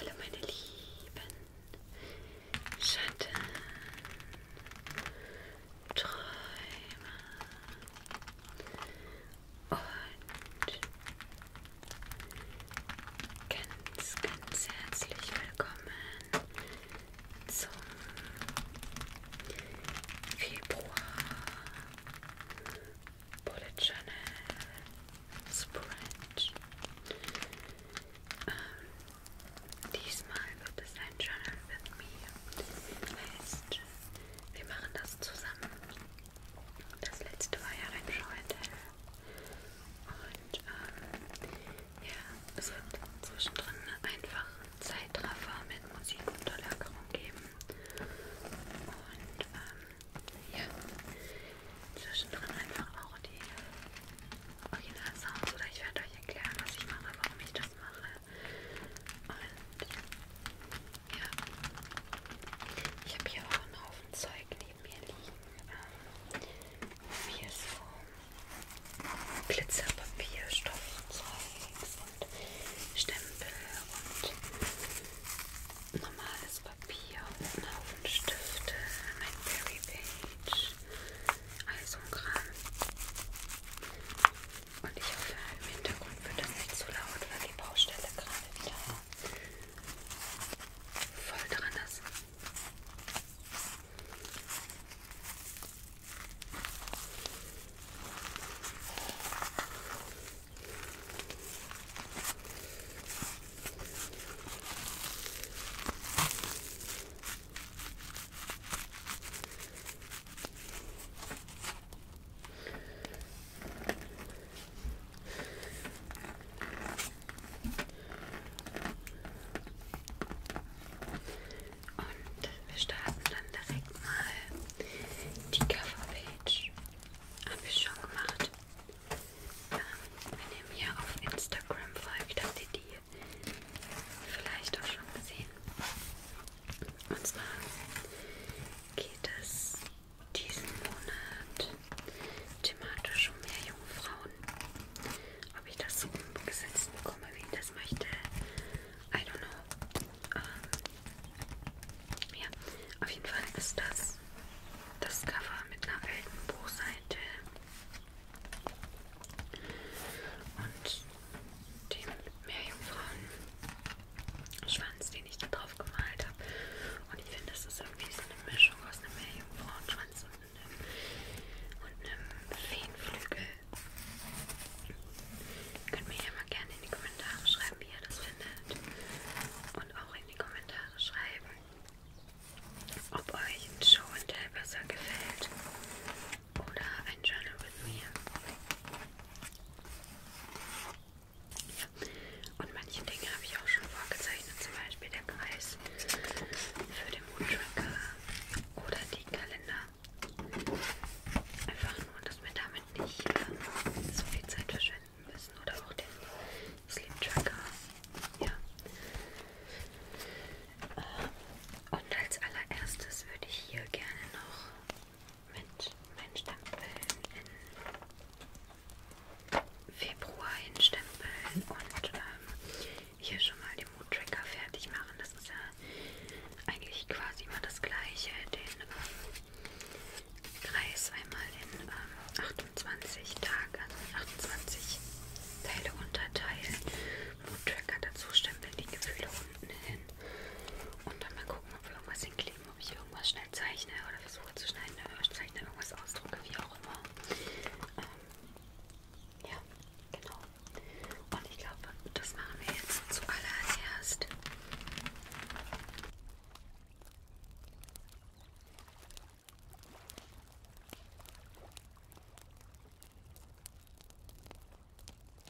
Hallo meine lieben Schatten. Träume und ganz, ganz herzlich willkommen zum Februar Bullet Journal Spread. Ähm, Diesmal wird es ein Journal with me. Heißt, wir machen das zusammen. Das letzte war ja ein Schauenteil. Und ähm, ja, es wird zwischendrin einfach Zeitraffer mit Musik und Unterlagerung geben. Und ähm, ja, zwischendrin einfach auch die Original Sounds oder ich werde euch erklären, was ich mache, warum ich das mache und ja, ich habe hier auch einen Haufen Zeug neben mir liegen. Ähm, hier so Glitzerpapier, Stoffzeugs und Stempel und normales Papier und einen Haufen Stifte, mein Berry Page all so ein Kram. Und ich hoffe, im Hintergrund wird das nicht zu laut, weil die Baustelle gerade wieder voll drin ist. Und wir starten dann direkt mal die Coverpage. Habe ich schon gemacht. Ähm, wenn ihr mir auf Instagram folgt, habt ihr die vielleicht auch schon gesehen. Und zwar geht es diesen Monat thematisch um mehr junge Frauen. Ob ich das so umgesetzt bekomme, wie ich das möchte, I don't know. Ähm, ja, auf jeden Fall ist das das Cover mit einer alten Buchseite. Und dem Meerjungfrauen-Schwanz, den ich da drauf gemalt habe. Und ich finde, das ist irgendwie so eine Mischung aus einem Meerjungfrauen-Schwanz und einem, und einem Feenflügel. Ihr könnt mir ja mal gerne in die Kommentare schreiben, wie ihr das findet. Und auch in die Kommentare schreiben, ob euch ein Show and Tell besser gefällt oder ein Journal with me. Ja. Und manche Dinge habe ich auch schon vorgezeichnet, zum Beispiel der Preis für den Mood-Tracker oder die Kalender. Einfach nur, dass wir damit nicht ähm, so viel Zeit verschwenden müssen oder auch den Sleep-Tracker. Ja. Äh, und als allererstes würde ich hier gerne noch mit meinen Stempeln in Februar hinstempeln und ähm, hier schon mal den Mood Tracker fertig machen. Das ist ja eigentlich quasi immer das gleiche. Den ähm, Kreis einmal in ähm, 28 Tage, also in 28 Teile unterteilen. Mood Tracker dazu stempeln die Gefühle unten hin. Und dann mal gucken, ob wir irgendwas hinkleben, ob ich irgendwas schnell zeichne oder versuche zu schneiden oder äh, zeichne irgendwas ausdrucke, wie auch immer. Ähm, ja, genau. Und ich glaube, das machen wir jetzt zuallererst.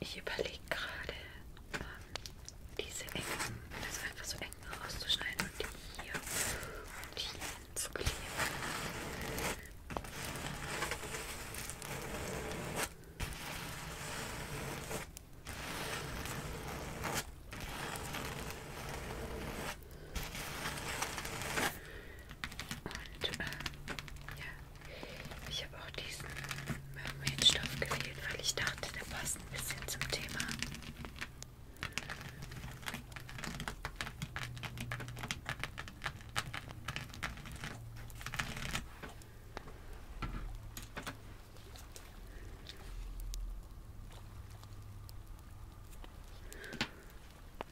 Ich überlege gerade, ähm, diese engen, also einfach so eng rauszuschneiden und die hier und hier zu kleben. Und ähm, ja, ich habe auch diesen Mermaidstoff gewählt, weil ich dachte, der passt ein bisschen zum Thema.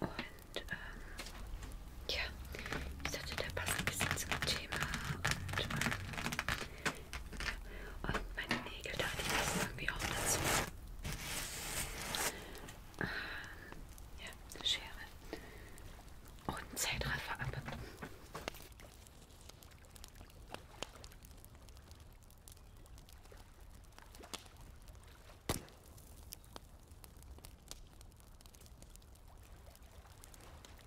Und ähm, ja, ich dachte, der passt ein bisschen zum Thema und ähm, und oh, meine Nägel dachte ich, passen irgendwie auch dazu. Ähm, ja, eine Schere. Und oh, Zeitraffer ab.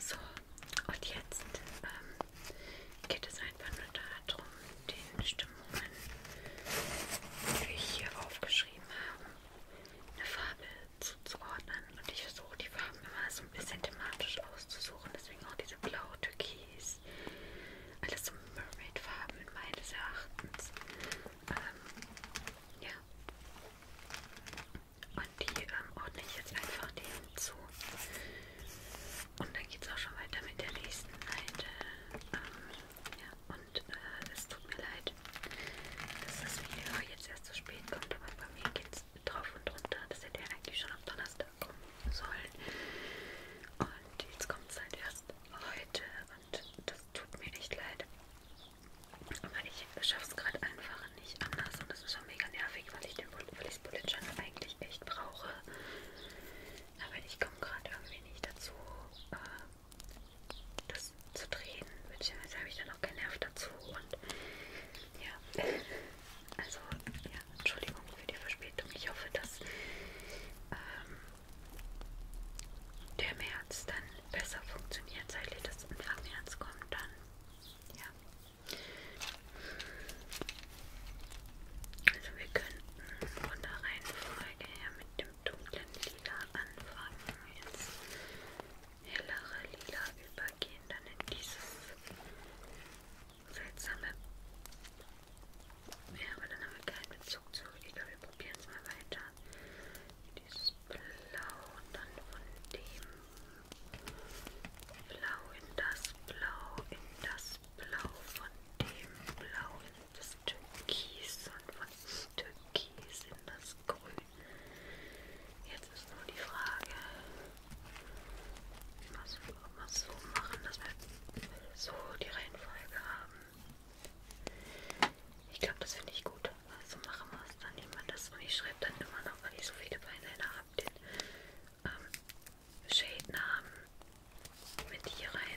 So, und jetzt ähm, geht es einfach nur darum, den Stimmungen, die wir hier aufgeschrieben haben, eine Farbe zuzuordnen. Und ich versuche die Farben immer so ein bisschen thematisch auszusuchen. Deswegen auch diese blau Türkis. Alles so Mermaid-Farben meines Erachtens. Ähm, ja. Und die ähm, ordne ich jetzt einfach dem zu. Und dann geht es auch schon weiter mit der nächsten Seite. Ähm, ja, und äh, es tut mir leid, dass das Video jetzt erst zu spät kommt, aber bei mir geht es drauf und runter. Das hätte ja eigentlich schon am Donnerstag kommen sollen. Und jetzt kommt es halt erst heute und das tut mir echt leid. Aber ich schaffe es gerade einfach nicht anders und das ist schon mega nervig, weil ich den weil ich Bullet Journal eigentlich echt brauche. Aber ich komme gerade irgendwie nicht dazu, äh, das zu drehen. Beziehungsweise habe ich da noch keinen Nerv dazu und ja, ja. Also, ja, Entschuldigung für die Verspätung. Ich hoffe, dass ähm, der März dann besser funktioniert. Seit ihr das Anfang März kommt, dann ja. Also wir könnten von der Reihenfolge her mit dem dunklen Lila anfangen. Jetzt hellere Lila übergehen, dann in dieses seltsame. Ja, aber dann haben wir keinen Bezug zu. Ich glaube, wir probieren es mal weiter. Dieses Blau und dann von dem Blau in das Blau, in das Blau, von dem Blau in das Türkis und von Türkis in das Grün. Jetzt ist nur die Frage, was wir auch mal so machen, dass wir so die Reihenfolge haben. Ich glaube, das finde ich gut. Also machen wir es dann immer das und ich schreibe dann immer noch, weil ich so viele Beinländer habe, den ähm, Shade-Namen mit hier rein.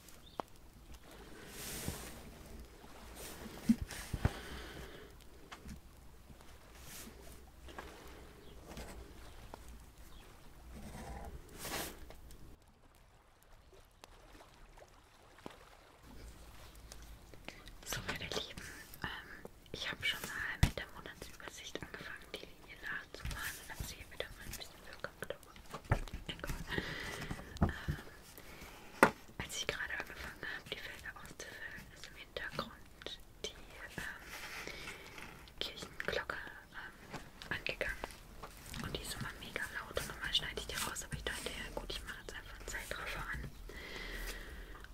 So, meine Lieben, ähm, ich habe schon mal mit der Monatsübersicht angefangen, die Linie nachzufahren und habe sie hier wieder mal ein bisschen verkackt. Oh ähm, als ich gerade angefangen habe, die Felder auszufüllen, ist im Hintergrund die ähm, Kirchenglocke ähm, angegangen. Und die ist immer mega laut und normal schneide ich die raus, aber ich dachte, ja gut, ich mache jetzt einfach einen Zeitraffer an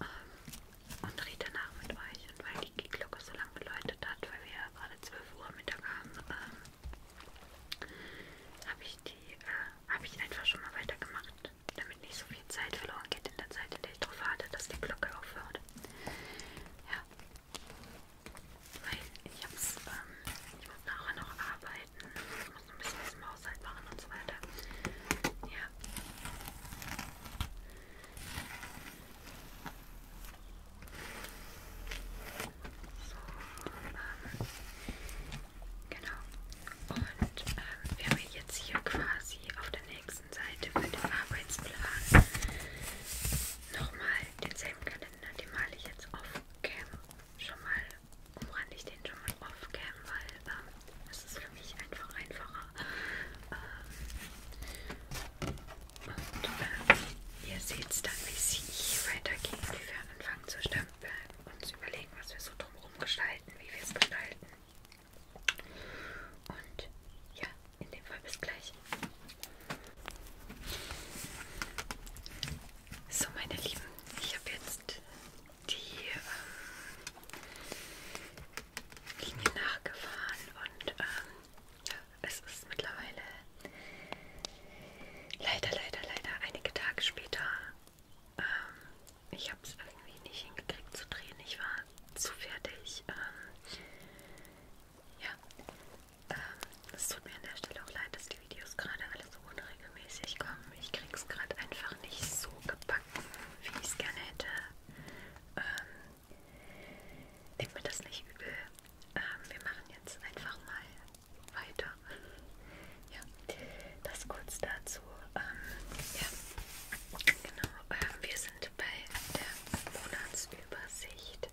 ähm, und rede danach mit euch. Und weil die Glocke so lange geläutet hat, weil wir ja gerade 12 Uhr Mittag haben, ähm, habe ich die, äh, habe ich einfach schon mal weitergemacht, damit nicht so viel Zeit verloren geht in der Zeit, in der ich darauf warte, dass die Glocke aufhört. Ja, weil ich hab's, ähm, ich muss nachher noch arbeiten, ich muss noch ein bisschen was im Haushalt machen und so weiter. Ja. So, ähm, Genau. Und ähm, wir haben jetzt hier quasi auf der nächsten Seite bei dem Arbeitsplan nochmal denselben Kalender. Den male ich jetzt off-cam schon mal, umrande ich den schon mal off-cam, weil ähm, das ist für mich einfach einfacher. Ähm, und ähm, ihr seht dann, wie es hier weitergeht, wie wir anfangen zu starten wir uns überlegen, was wir so drumherum gestalten, wie wir es gestalten. Und ja, in dem Fall bis gleich. So, meine Lieben, ich habe jetzt die ähm, Linie nachgefahren und ähm, ja, es ist mittlerweile leider, leider, leider einige Tage später ähm, ich habe es irgendwie nicht hingekriegt zu drehen. Ich war zu fertig. Ähm, ja, ähm, es tut mir an der Stelle auch leid, dass die Videos gerade alle so unregelmäßig kommen. Ich kriege es gerade einfach nicht so gebacken, wie ich es gerne hätte. Ähm, Nehmt mir das nicht übel. Ähm, wir machen jetzt einfach mal weiter. Ja, das kurz dazu. Ähm, ja, genau. Ähm, wir sind bei der Monatsübersicht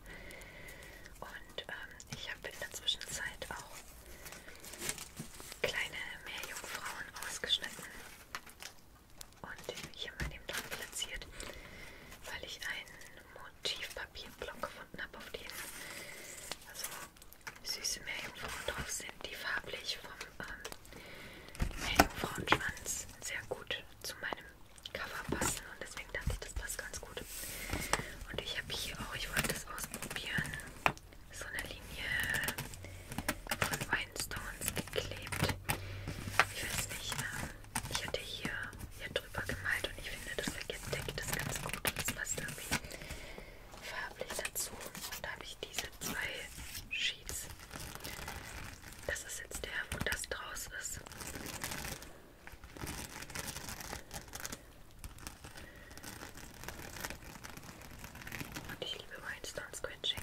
und ähm, ich habe in der Zwischenzeit auch kleine Meerjungfrauen ausgeschnitten und hier mal dem Tag platziert, weil ich einen Motivpapierblock gefunden habe, auf den also süße Meerjungfrauen drauf sind, die farblich vom ähm, Meerjungfrauenschwanz sehr gut zu meinem Cover passen und deswegen dachte ich, das passt ganz gut. Und ich habe hier auch, ich wollte das ausprobieren, so eine Linie von Winestones geklebt. Ich weiß nicht, ähm, ich hatte hier, hier drüber gemalt und ich finde, das deckt das ganz gut und das passt irgendwie farblich dazu. Und da habe ich diese zwei Sheets. Das ist jetzt der, wo das draus ist. Und ich liebe Rhinestone Scratching.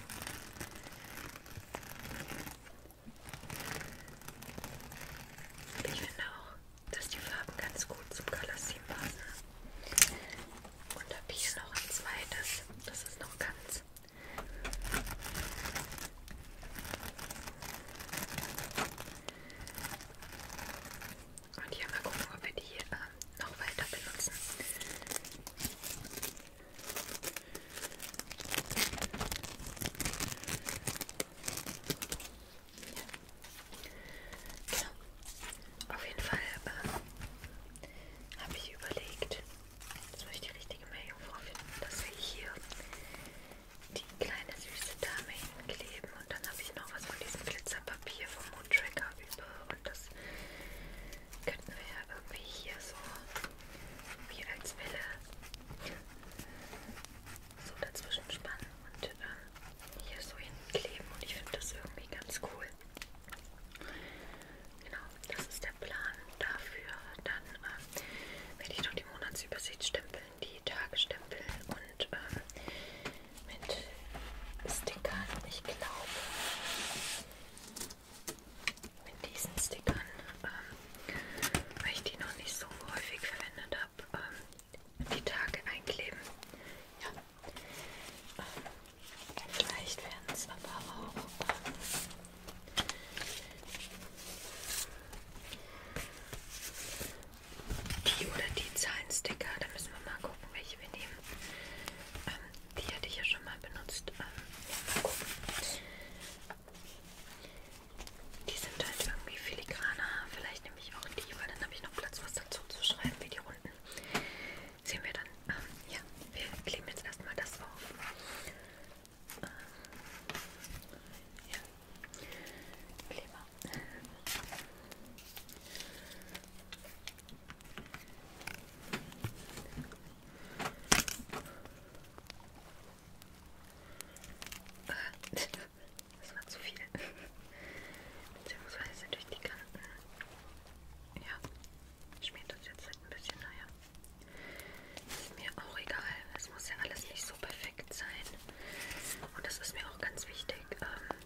Ich finde auch, dass die Farben ganz gut zum Color Scheme passen. Und habe hier noch ein zweites, das ist noch ganz. Und hier mal gucken, ob wir die äh, noch weiter benutzen. Ja. Genau. Auf jeden Fall äh, habe ich überlegt, jetzt muss ich die richtige Meerjungfrau finden, dass wir hier die kleine süße Dame hinkleben und dann habe ich noch was von diesem Glitzerpapier vom Mood Tracker über und das könnten wir ja irgendwie hier so wie als Welle so dazwischen spannen und ähm, hier so hinkleben und ich finde das irgendwie ganz cool. Genau, das ist der Plan dafür. Dann äh, werde ich noch die Monatsübersicht stempeln, die Tage stempeln und ähm, mit Stickern, ich glaube, mit diesen Stickern, ähm, weil ich die noch nicht so häufig verwendet habe, ähm, die Tage einkleben. Ja, Vielleicht werden es aber auch die oder die Zahlensticker. Da müssen wir mal gucken, welche wir nehmen. Ähm, die hatte ich ja schon mal benutzt. Ähm, ja, mal gucken. Die sind halt irgendwie filigraner. Vielleicht nehme ich auch die, weil dann habe ich noch Platz, was dazu zu schreiben, wie die Runden hinten sehen wir dann, ähm, ja, wir kleben jetzt erstmal das auf. Ähm, ja, Kleber. Das war zu viel. Beziehungsweise durch die Kanten. Ja, schmiert das jetzt halt ein bisschen, naja. Ist mir auch egal. Es muss ja alles nicht so perfekt sein. Und das ist mir auch ganz wichtig, ähm,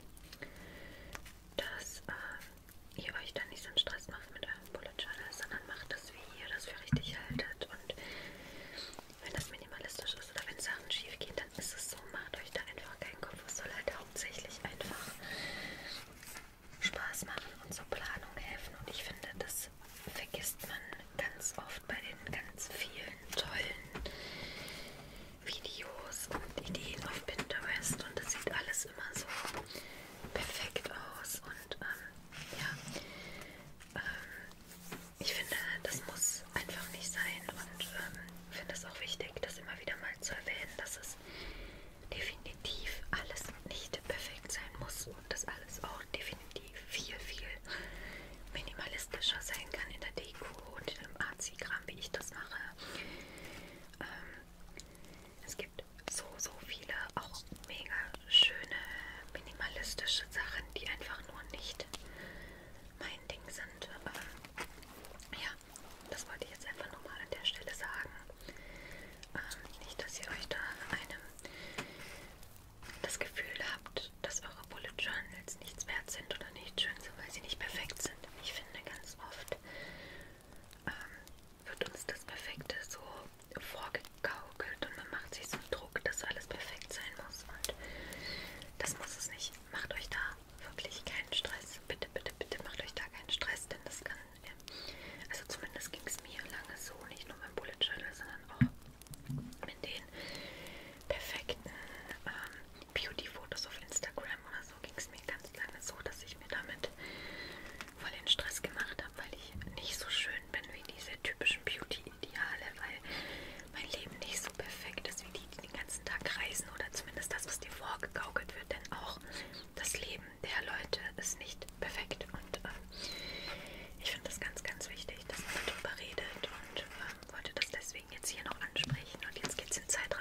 dass äh, ihr euch dann nicht so einen Stress macht mit eurem Bullet Journal, sondern macht das, wie ihr das für richtig haltet. Und wenn das minimalistisch ist oder wenn Sachen schief gehen, dann ist es so, macht euch da einfach keinen Kopf. Es soll halt hauptsächlich einfach Spaß machen und zur Planung helfen. Und ich finde, das vergisst man ganz oft bei den ganz vielen tollen Videos und Ideen auf Pinterest. Und das sieht alles immer so perfekt aus. Und ähm, ja, ähm, ich finde, das muss einfach nicht sein. Und ähm, ich finde es auch wichtig, das immer wieder mal zu erwähnen, dass es definitiv alles nicht perfekt sein muss und dass alles auch definitiv viel, viel minimalistischer sein kann in der Deko und in dem Arzi-Kram, wie ich das mache. Ähm, es gibt so, so viele auch mega schöne minimalistische Sachen, die einfach nur nicht mein Ding sind. Ähm, ja, das wollte ich jetzt einfach nochmal an der Stelle sagen. Ähm, nicht, dass ihr euch da einem das Gefühl habt, dass eure Bullet Journals nichts wert sind oder nicht schön sind, weil sie nicht perfekt sind. Ich finde ganz oft ähm, wird uns das Perfekte so vorgegaukelt und man macht sich so einen Druck, dass alles perfekt sein muss. Und das muss es nicht. Macht euch da wirklich keinen Stress. Bitte bitte, bitte, bitte macht euch da keinen Stress, denn das kann, also zumindest ging es mir lange so, nicht nur beim Bullet Journal, sondern auch mit den perfekten ähm, Beauty-Fotos auf Instagram oder so ging es mir ganz lange so, dass ich mir damit voll den Stress gemacht habe, weil ich nicht so schön bin wie diese typischen Beauty-Ideale, weil mein Leben nicht so perfekt ist, wie die, die den ganzen Tag reisen oder zumindest das, was dir vorgegaukelt wird, denn auch das Leben der Leute ist nicht perfekt. Und äh, ich finde das ganz, ganz wichtig, dass man darüber redet und äh, wollte das deswegen jetzt hier noch ansprechen. Und jetzt geht's in Zeitraffer.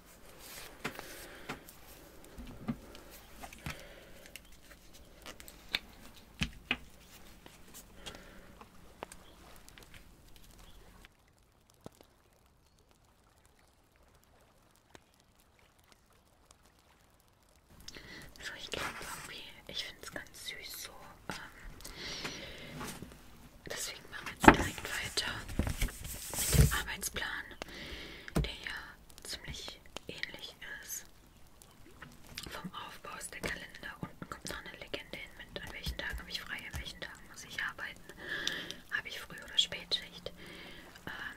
So, also ich glaube irgendwie, ich finde es ganz süß so. Ähm, deswegen machen wir jetzt direkt weiter mit dem Arbeitsplan, der ja ziemlich ähnlich ist. Vom Aufbau ist der Kalender. Unten kommt noch eine Legende hin mit an welchen Tagen habe ich frei, an welchen Tagen muss ich arbeiten, habe ich Früh- oder Spätschicht. Ähm,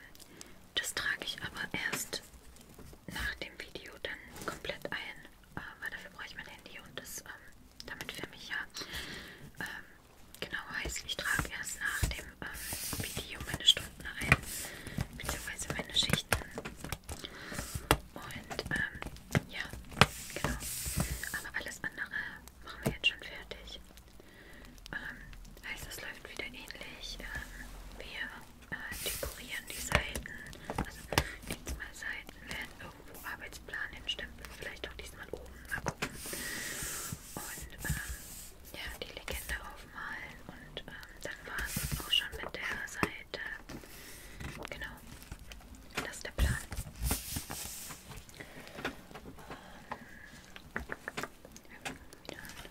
das trage ich aber erst nach dem Video dann komplett ein, äh, weil dafür brauche ich mein Handy und das, ähm, damit filme ich ja. Ähm, genau heißt, ich trage erst nach dem ähm, Video meine Stunden ein, beziehungsweise meine Schichten. Und ähm, ja, genau. Aber alles andere machen wir jetzt schon fertig. Ähm, heißt, es läuft wieder ähnlich. Ähm, wir äh, dekorieren die Seiten. Also jetzt mal Seiten werden irgendwo Arbeitsplan hinstempeln. Vielleicht auch diesmal oben. Mal gucken. Und ähm, ja, die Legende aufmalen und ähm, dann war es auch schon mit der Seite. Genau, das ist der Plan. Ähm, wieder an.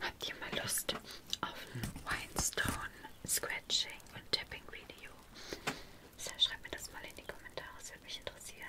Habt ihr mal Lust auf ein Winestone Scratching und Tapping Video? So, schreibt mir das mal in die Kommentare, das würde mich interessieren.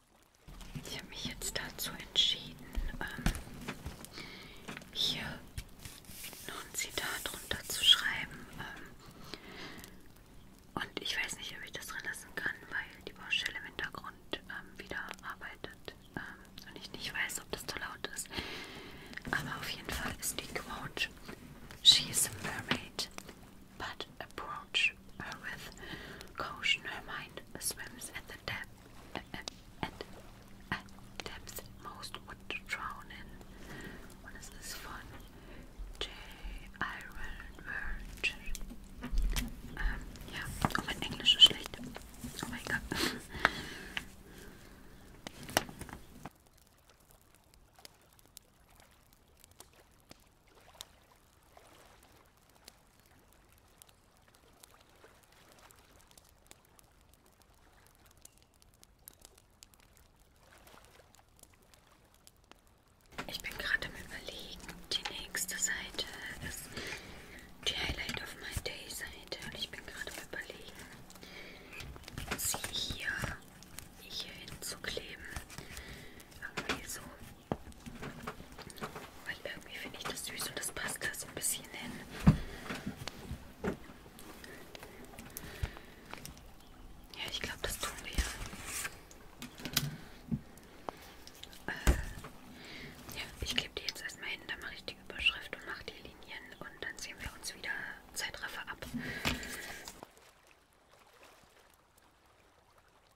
Ich habe mich jetzt dazu entschieden, ähm, hier noch ein Zitat drunter zu schreiben. Ähm, und ich weiß nicht, ob ich das drin lassen kann, weil die Baustelle im Hintergrund ähm, wieder arbeitet. Ähm, und ich nicht weiß, ob das zu laut ist. Aber auf jeden Fall ist die Quote: She is a mermaid. but approach her with caution. Her mind swims at the depth, at, depths most would drown in. What is this fun? J. Iron Virgin. oh, mein Englisch ist schlecht. Oh mein Gott. Ich bin gerade am Überlegen, die nächste Seite ist die Highlight of My Day Seite und ich bin gerade am Überlegen, sie hier, hier hinzukleben. Irgendwie so weil irgendwie finde ich das süß und das passt da so ein bisschen hin. Ja, ich glaube, das tun wir. Äh, ja, ich klebe die jetzt erstmal hin, dann mache ich die Überschrift und mache die Linien und dann sehen wir uns wieder Zeitraffer ab.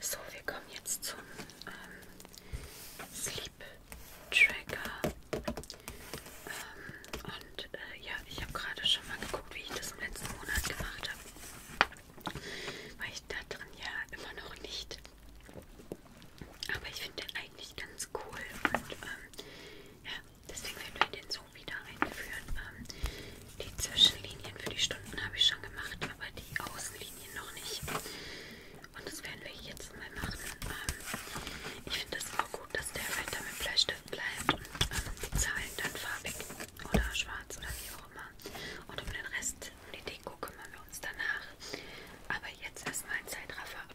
So, wir kommen jetzt zum ähm, Sleep Tracker. Ähm, und äh, ja, ich habe gerade schon mal geguckt, wie ich das im letzten Monat gemacht habe weil ich da drin ja immer noch nicht. Aber ich finde den eigentlich ganz cool und ähm, ja, deswegen werden wir den so wieder einführen. Ähm, die Zwischenlinien für die Stunden habe ich schon gemacht, aber die Außenlinien noch nicht. Und das werden wir jetzt mal machen. Ähm, ich finde es auch gut, dass der weiter mit Bleistift bleibt und ähm, die Zahlen dann farbig oder schwarz oder wie auch immer. Und um den Rest, um die Deko kümmern wir uns danach. Aber jetzt erstmal ein Zeitraffer ab.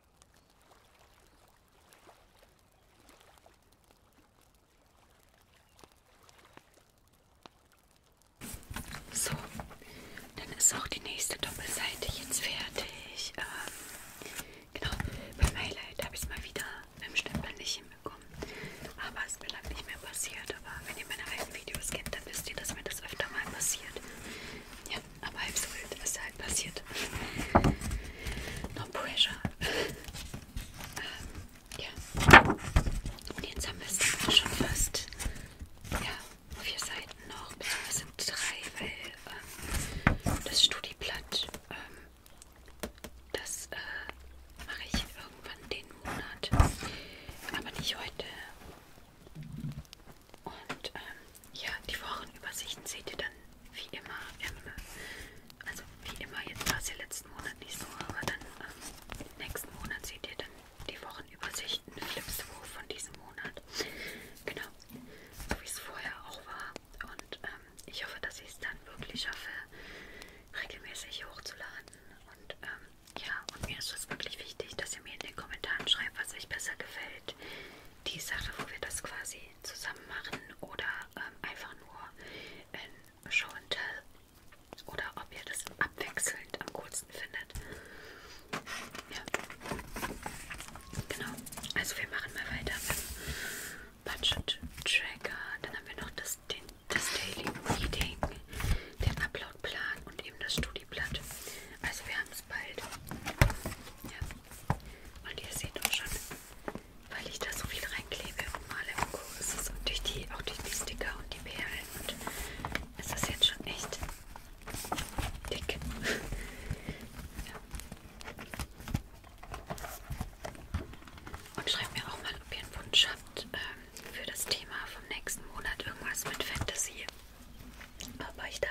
So, dann ist auch die nächste Doppelseite jetzt fertig. Ähm, genau, beim Highlight habe ich es mal wieder mit dem Stempel nicht hinbekommen. Aber es ist lange nicht mehr passiert. Aber wenn ihr meine alten Videos kennt, dann wisst ihr, dass mir das öfter mal passiert. Ja, aber halb so wild, was da halt passiert. No pressure. ähm, ja. Und jetzt haben wir es dann auch schon fast. Ja, vier Seiten noch, beziehungsweise drei, weil ähm, das Studiblatt, ähm, das äh, mache ich irgendwann den Monat. Aber nicht heute. Und ähm, ja, die Wochenübersichten seht ihr dann wie immer. Im, also wie immer, jetzt war es ja letzten Monat nicht so, aber dann ähm, nächsten Monat seht ihr dann die Wochenübersichten, Flipsbuch von diesem Monat. Genau, so wie es vorher auch war. Und ähm, ich hoffe, dass ich es dann wirklich schaffe, regelmäßig hochzuladen. Und ähm, ja, und mir ist es wirklich wichtig, dass ihr mir in den Kommentaren schreibt, was euch besser gefällt die Sache, wo wir das quasi zusammen machen oder ähm, einfach nur in Show and Tell oder ob ihr das abwechselnd am coolsten findet. Ja. Genau. Also wir machen mal weiter mit Budget Tracker. Dann haben wir noch das, den, das Daily Meeting, den Upload-Plan und eben das Studieblatt. Also wir haben es bald. Ja. Und ihr seht auch schon, weil ich da so viel reinklebe und male und Co. ist es und durch die, auch durch die Sticker und die Perlen und ist das jetzt schon echt dick. ja. Und schreibt mir auch mal, ob ihr einen Wunsch habt ähm, für das Thema vom nächsten Monat. Irgendwas mit Fantasy ob euch da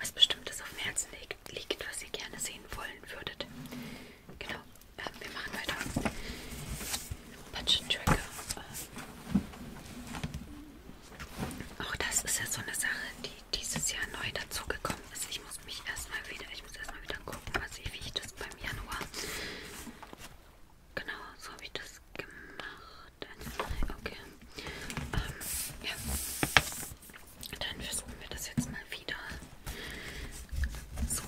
was Bestimmtes auf dem Herzen liegt, was ihr gerne sehen wollen würdet. Genau, ähm, wir machen weiter. Budget Tracker. Ähm. Auch das ist ja so eine Sache, die dieses Jahr neu dazugekommen ist. Ich muss mich erstmal wieder, ich muss erstmal wieder gucken, was ich, wie ich das beim Januar. Genau, so habe ich das gemacht. Dein Ei, okay. Ähm, ja. Dann versuchen wir das jetzt mal wieder. So,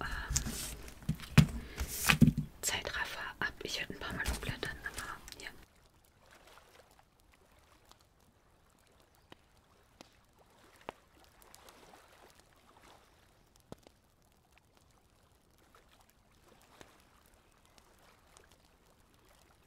ähm, Zeitraffer ab. Ich werde ein paar Mal umblättern, aber ja.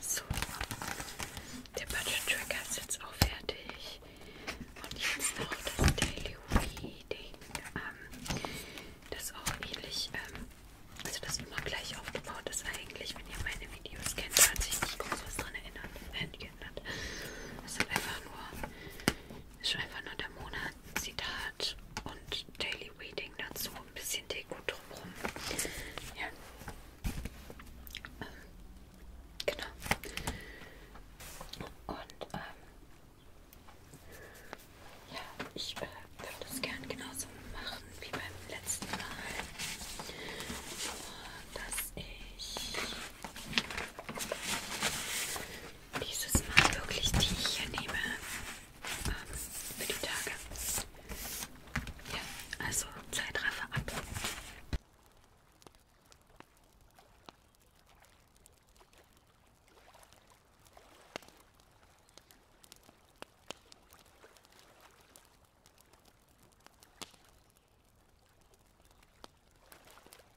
So, der Budget Tracker ist jetzt auch fertig. Und jetzt noch das Daily Reading. Ähm, das auch ähnlich, ähm, also das immer gleich aufgebaut ist eigentlich, wenn ihr meine Videos kennt, da hat sich nicht groß was dran erinnert, äh, geändert. Es ist einfach nur, ist einfach nur der Monat Zitat und Daily Reading dazu, ein bisschen Deko drumherum. Ja. Ähm, genau. Und ähm, ja, ich äh, würde es gern genauso machen wie beim letzten Mal. Dass ich dieses Mal wirklich die ich hier nehme ähm, für die Tage. Ja, also Zeitraffer ab.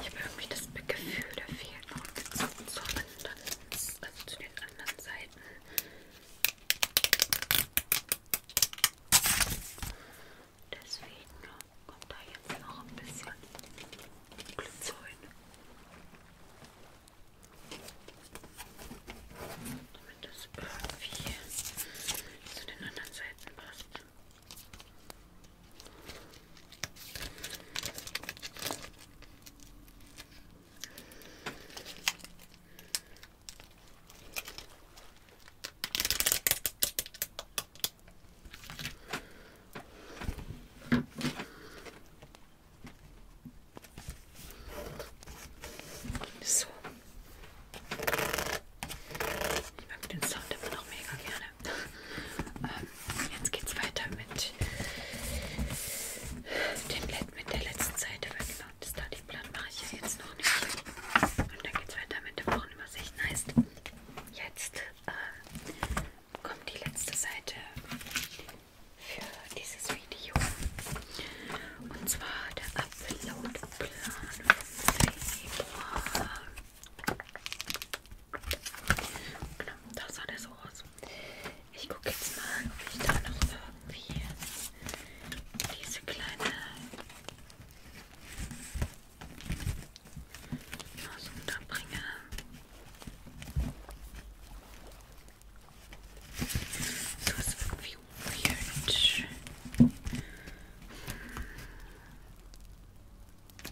Ich habe irgendwie das Gefühl, da fehlt noch ein zu anderen, also zu den anderen Seiten. Deswegen kommt da jetzt noch ein bisschen Glycerin. Damit das irgendwie zu den anderen Seiten passt. So. Ich mag den Sound immer noch mega gerne. ähm, jetzt geht's weiter mit dem Let mit der letzten Seite, weil so, das Studyplan mache ich ja jetzt noch nicht. Und dann geht's weiter mit der Wochenübersicht. Heißt, jetzt äh, kommt die letzte Seite für dieses Video. Und zwar der Uploadplan vom Februar. Genau, da sah der so aus. Ich gucke jetzt mal, ob ich da noch irgendwie diese kleine was unterbringe. Das ist irgendwie weird.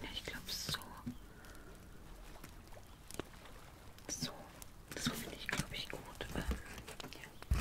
Ja, ich glaube so. So. Das finde ich, glaube ich, gut. Ähm, ja.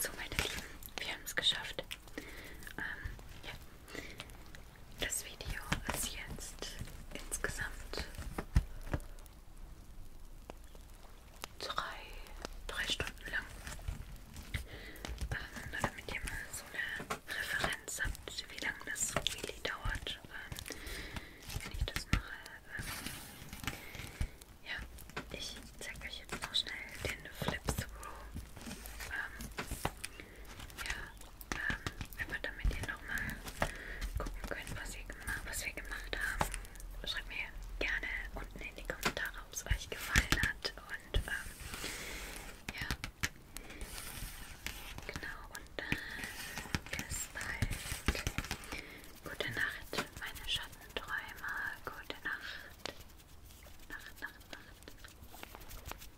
So, meine Lieben, wir haben es geschafft. Ähm, ja. Das Video ist jetzt insgesamt drei, drei Stunden lang. Ähm, nur damit ihr mal so eine Referenz habt, wie lange das really dauert, ähm, wenn ich das mache. Ähm, ja, ich zeige euch jetzt noch schnell den Flip-Through. Ähm, ja, ähm, einfach damit ihr nochmal gucken könnt, was, ihr gemacht, was wir gemacht haben. Schreibt mir gerne unten in die Kommentare, ob es euch gefallen hat. Und ähm, ja, genau. Und dann bis bald. Gute Nacht, meine Schattenträumer. Gute Nacht. Nacht, Nacht, Nacht.